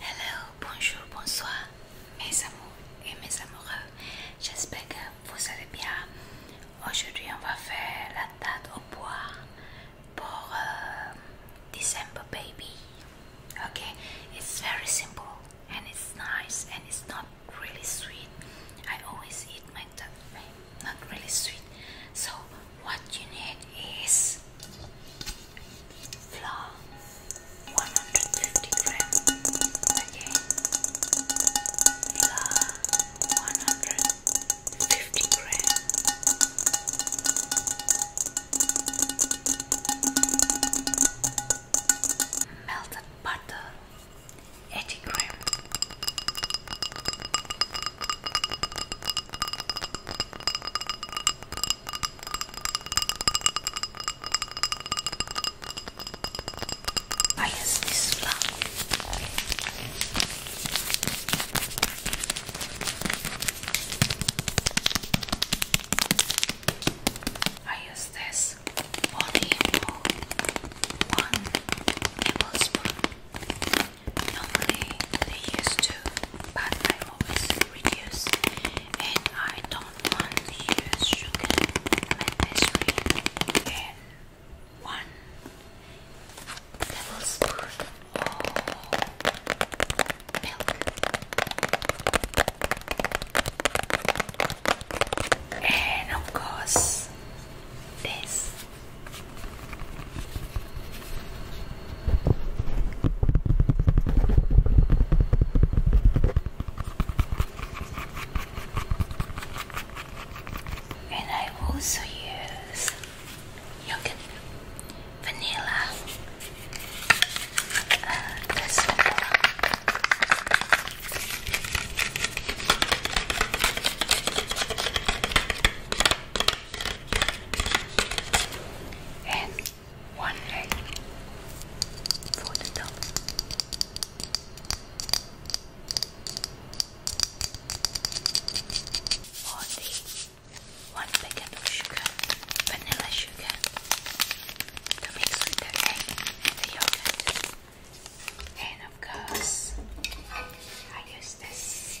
Hello, bonjour, bonsoir, mes amours et mes amoureux. J'espère que vous allez bien. Aujourd'hui, on va faire la date au bois pour uh, December baby. Okay, it's very simple and it's nice and it's not really sweet. I always eat my not really sweet. So what you need is flour 150 grams again flour 150 grams melted butter 80 grams I guess this is black. I use this body one tablespoon. Normally they use two, but I reduce, and I don't want to sugar in And one tablespoon of milk, and of course this. And I also use yogurt vanilla uh, and one egg for the dog. For one packet of sugar, vanilla sugar, to mix with the egg the yogurt. And of course, I use this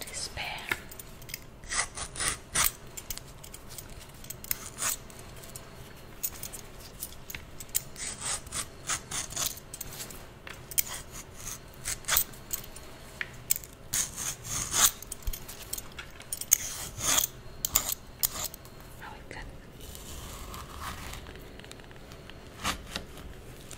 Despair. Oh, we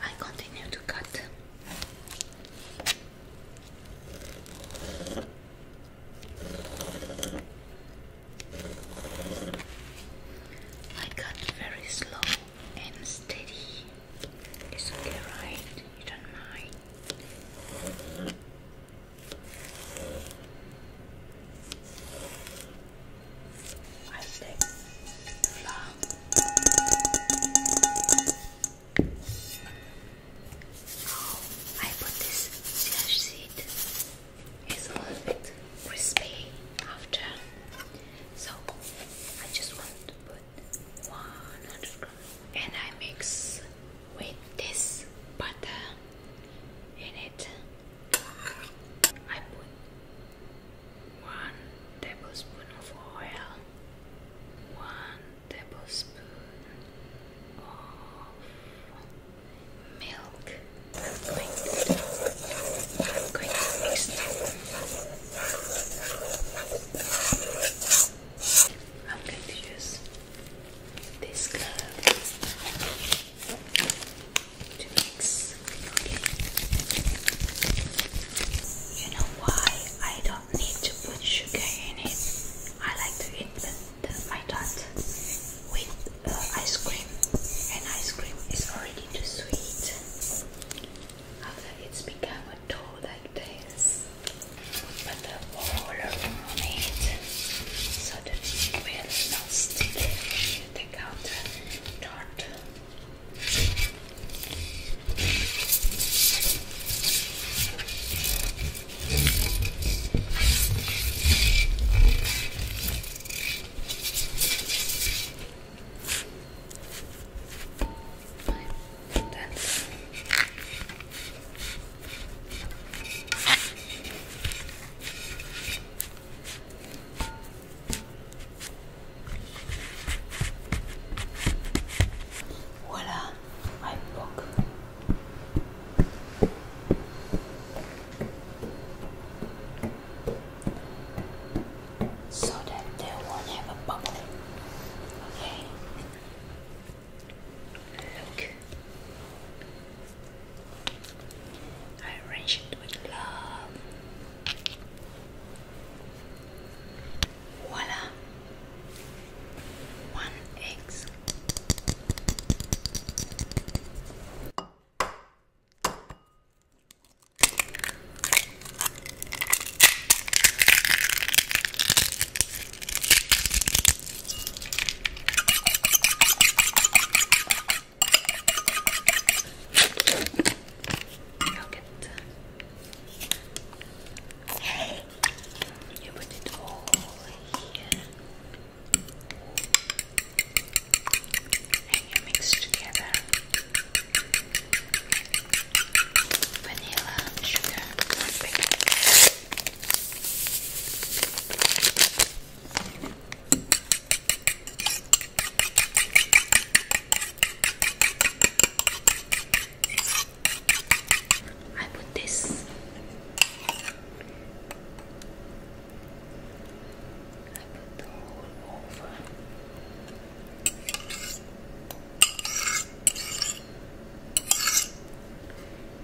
I continue to cut. I cut very slow and steady. It's okay, right? You don't mind. I take flour. Now I put this sage seed. It's a little bit crispy after, so I just want to put 100 grams, and I mix with this butter in it. I put one tablespoon of oil, one tablespoon of milk. I'm going to, I'm going to mix I'm going to use this glove to mix. Okay. You know why I don't need to put sugar in it? I like to invent my dot with uh, ice cream, and ice cream is already too sweet. After it's become a dough like this, put the water on it so that it will not stick to the counter. That's Voila, my book. So that they won't have a bubble. Okay. Look, I arranged it with love. Voila, one eggs. Yogurt. You put it all here. And you mix together vanilla, sugar, baking I put this. I put over.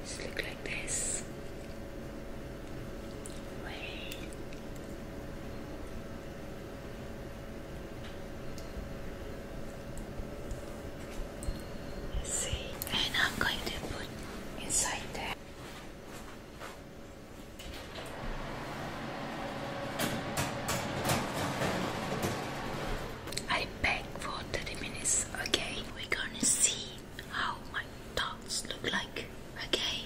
Just look like this. Wait. See, and I'm going to put inside there. I bake for 30 minutes, okay? We're gonna see how my thoughts look like, okay?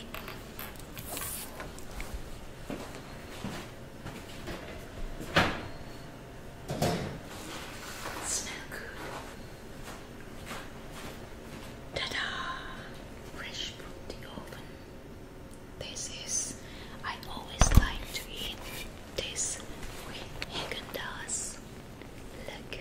Smell good. Ta-da! Fresh from the oven. This is, I always like to eat this with haagen Look,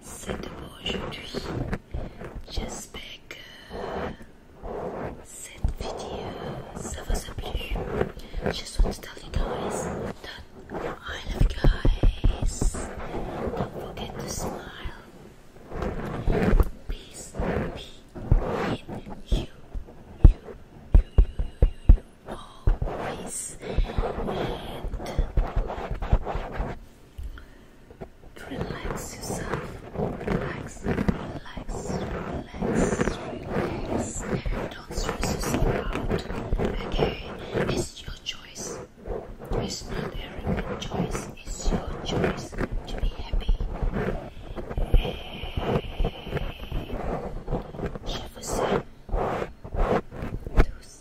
C'était pour aujourd'hui. J'espère que vidéo ça vous a plu. just want to tell you guys that I love you guys. Don't forget to smile. Peace be always. And Relax yourself. Relax, relax, relax, relax. Don't stress yourself out. Okay, it's your choice. It's not Eric's choice. It's your choice to be happy. Hey. Je vous aime tous